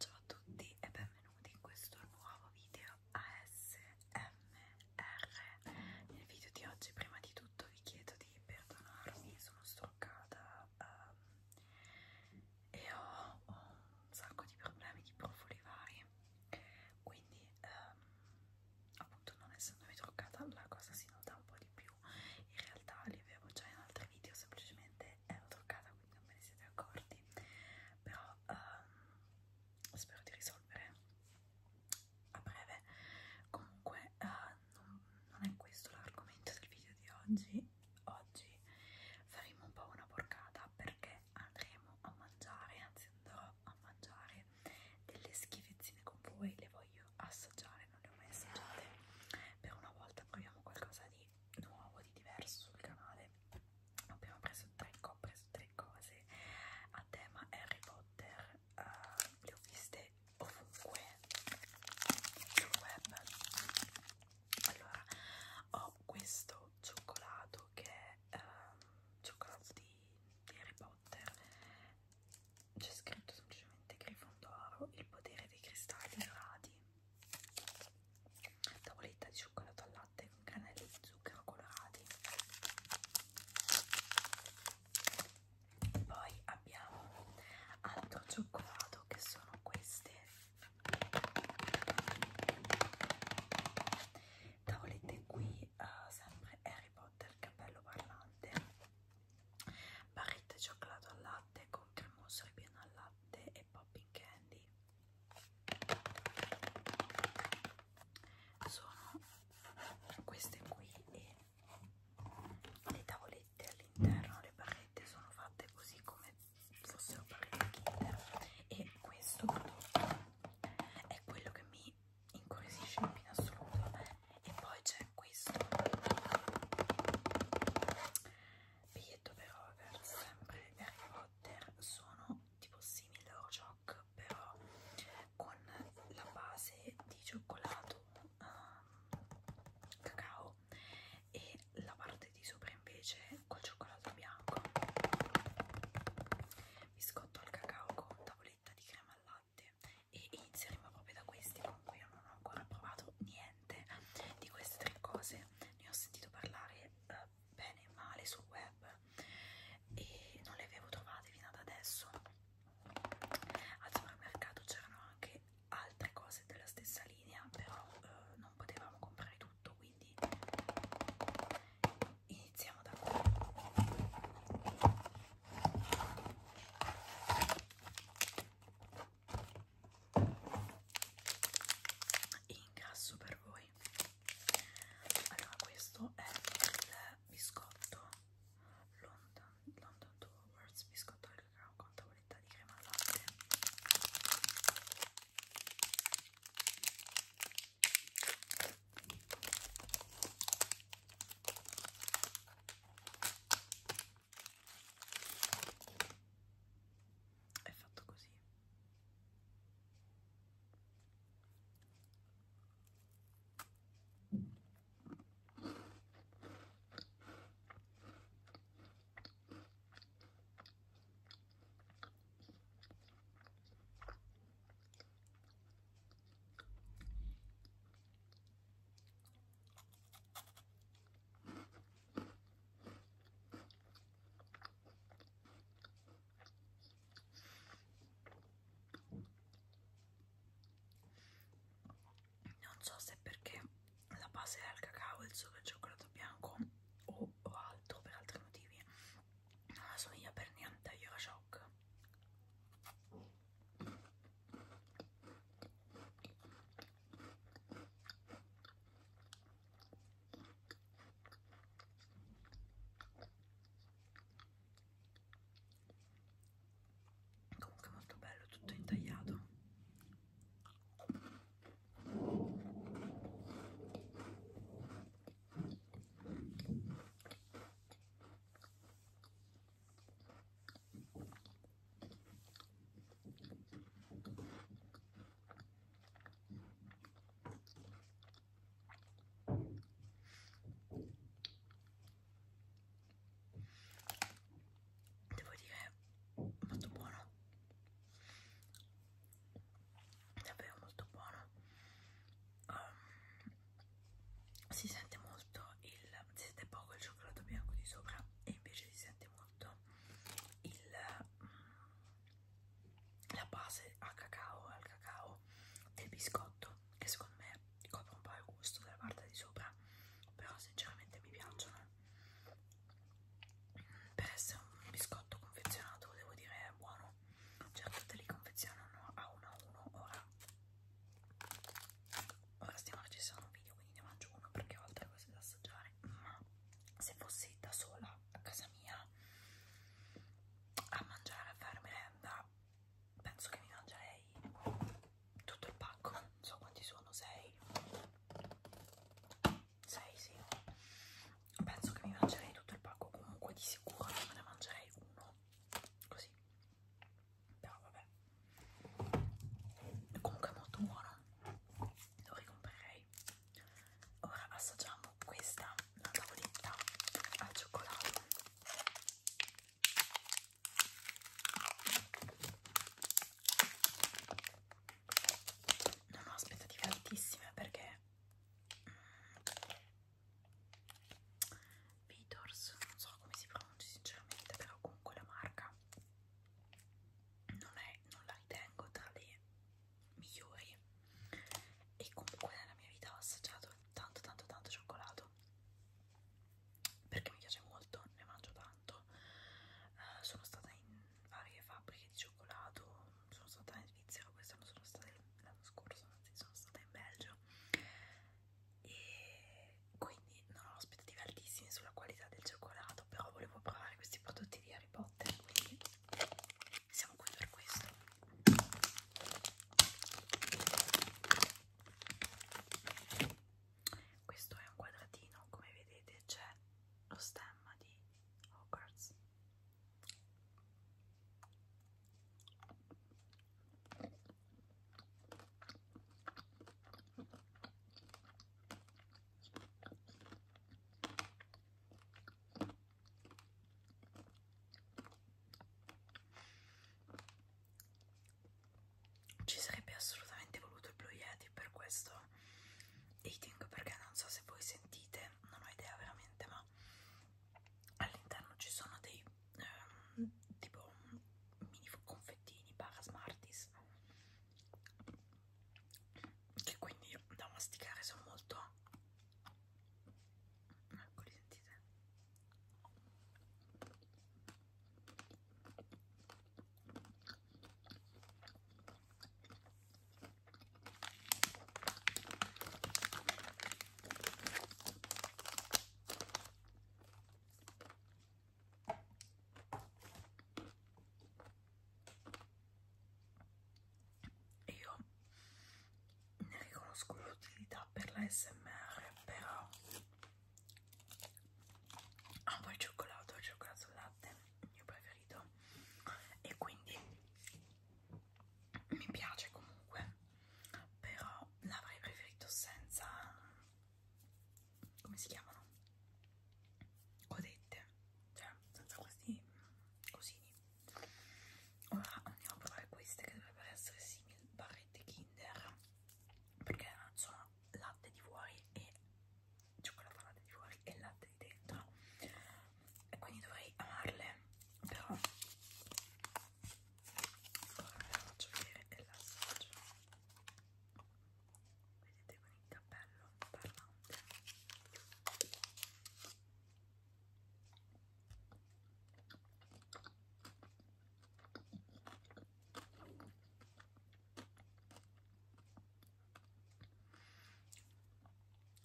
Ciao a tutti e benvenuti in questo nuovo video ASMR. Nel video di oggi prima di tutto vi chiedo di perdonarmi, sono struccata um, ehm, e ho, ho un sacco di problemi di profili vari, quindi um, appunto non essendomi truccata la cosa si nota un po' di più più in realtà li avevo già in altri video semplicemente ero truccata quindi non me ne siete accorti però um, spero di risolvere a breve comunque uh, non, non è questo l'argomento del video di oggi oggi faremo un po' una porcata perché andremo a mangiare anzi andrò a mangiare delle schifezzine con voi le voglio assaggiare, non le ho mai assaggiate. Per una volta proviamo qualcosa di nuovo, di diverso sul canale. Abbiamo preso tre, ho preso tre cose a tema Harry Potter, uh, le ho viste ovunque sul web. Allora, ho questo cioccolato che è um, cioccolato di, di Harry Potter c'è scritto semplicemente Grifondoro, il potere dei cristalli dorati, tavoletta di cioccolato al latte con granelli di zucchero colorati. Poi abbiamo altro cioccolato che sono queste tavolette qui, uh, sempre Harry Potter, cappello parlante barrette di cioccolato al latte con cremoso ripieno al latte e popping candy sono queste qui e le tavolette all'interno le barrette sono fatte così come fossero barrette kinder e questo prodotto è quello che mi incuriosisce più in assoluto e poi c'è questo biglietto per over sempre di Harry Potter sono tipo simile orjoc però con la base di cioccolato um, cacao e la parte di sopra invece col cioccolato bianco biscotto al cacao con tavoletta di crema al latte e inizieremo proprio da questi comunque io non ho ancora provato niente di queste tre cose ne ho sentito parlare eh, bene e male sul web e non le avevo trovate fino ad adesso al supermercato c'erano anche altre cose della stessa linea però eh, non potevamo comprare tutto quindi iniziamo da qui incasso per voi allora questo è il biscotto London, London Towards biscotto al cacao con tavoletta di crema al latte è fatto così non so se perché la base era il cacao, il solo il cioccolato bianco o, o altro per altri motivi. Non assomiglia per niente a Yorashok comunque molto bello tutto intagliato Devo dire molto buono, davvero molto buono. Um, si sente molto il si sente poco il cioccolato bianco di sopra e invece si sente molto il, mm, la base a cacao al cacao del biscotto che secondo me copre un po' il gusto della parte di sopra però sinceramente mi piacciono per essere un biscotto confezionato devo dire è buono certo cioè, te li confezionano a uno a uno ora ora stiamo registrando un video quindi ne mangio uno perché ho altre cose da assaggiare ma se fossi da sola a casa mia a mangiare a fare merenda penso che mi mangerei tutto il pacco non so quanti sono 6 6 sì penso che mi mangerei tutto il pacco comunque di sicuro me ne mangerei uno così però vabbè comunque è molto buono lo ricomprerei ora assaggiamo questa la tavoletta al cioccolato non ho aspettative altissime perché mm, Vitors, non so come si pronuncia sinceramente, però comunque la marca non, è, non la ritengo tra le migliori e comunque nella mia vita ho assaggiato tanto tanto tanto cioccolato perché mi piace molto, ne mangio tanto, uh, sono stata in varie fabbriche di cioccolato, sono stata in Svizzera quest'anno, sono stata l'anno scorso, anzi sono stata in Belgio e quindi non ho aspettative altissime sulla qualità del cioccolato però volevo provare questi prodotti di Harry Potter quindi siamo qui per questo questo è un quadratino come vedete c'è lo stemma di Hogwarts ci sarebbe assolutamente voluto il Blue Yeti per questo eating perché non so se voi sentite, non ho idea veramente, ma all'interno ci sono dei ehm, tipo mini confettini barra smarties che quindi da masticare sono molto ecco li sentite io ne riconosco l'utilità per la SMR, però amo il cioccolato, il cioccolato al latte, il mio preferito, e quindi mi piace comunque, però l'avrei preferito senza come si chiamano? Codette, cioè senza questi cosini. Ora andiamo a provare queste che dovrebbero essere simili barrette Kinder perché sono latte di fuori e cioccolato latte di fuori e latte di dentro e quindi dovrei amarle però ora ve la faccio vedere e la assaggio vedete con il cappello parlante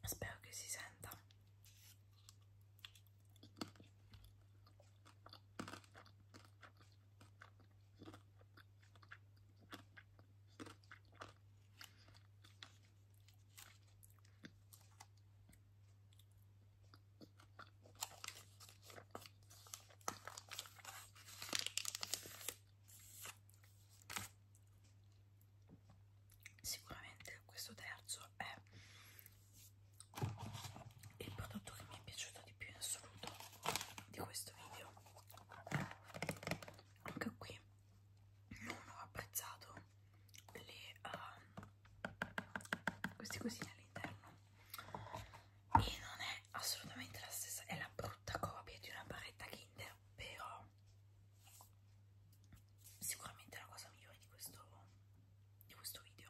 spero che si senta Sicuramente questo terzo è il prodotto che mi è piaciuto di più in assoluto di questo video anche qui non ho apprezzato le, uh, ehm, queste cosine all'interno e non è assolutamente la stessa è la brutta copia di una barretta Kinder però sicuramente è la cosa migliore di questo, di questo video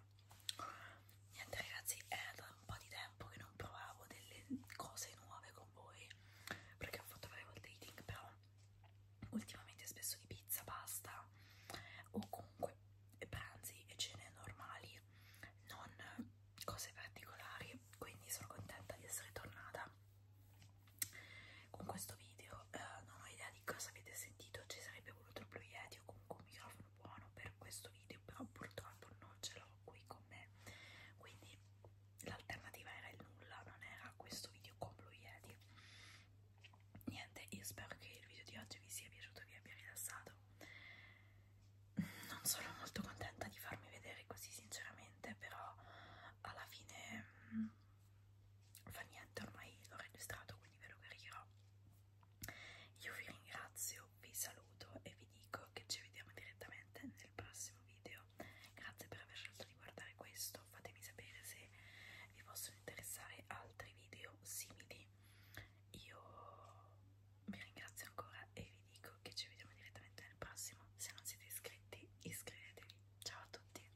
niente ragazzi è da un po' di tempo che non provavo delle cose nuove con voi perché ho fatto varie volte eating però ultimamente spesso di pizza, pasta o comunque pranzi e cene normali non cose particolari quindi sono contenta di essere tornata con questo video eh, non ho idea di cosa avete sentito ci sarebbe voluto il Blue Yeti o comunque un microfono buono per questo video però purtroppo non ce l'ho qui con me quindi l'alternativa era il nulla non era questo video con Blue Yeti niente io spero che il video di oggi vi sia piaciuto e vi abbia rilassato non sono molto contenta di farmi vedere così sinceramente però alla fine mh, mm, fa niente ormai l'ho registrato quindi ve lo caricherò io vi ringrazio, vi saluto e vi dico che ci vediamo direttamente nel prossimo video. Grazie per aver scelto di guardare questo, fatemi sapere se vi possono interessare altri video simili. Io vi ringrazio ancora e vi dico che ci vediamo direttamente nel prossimo. Se non siete iscritti, iscrivetevi. Ciao a tutti!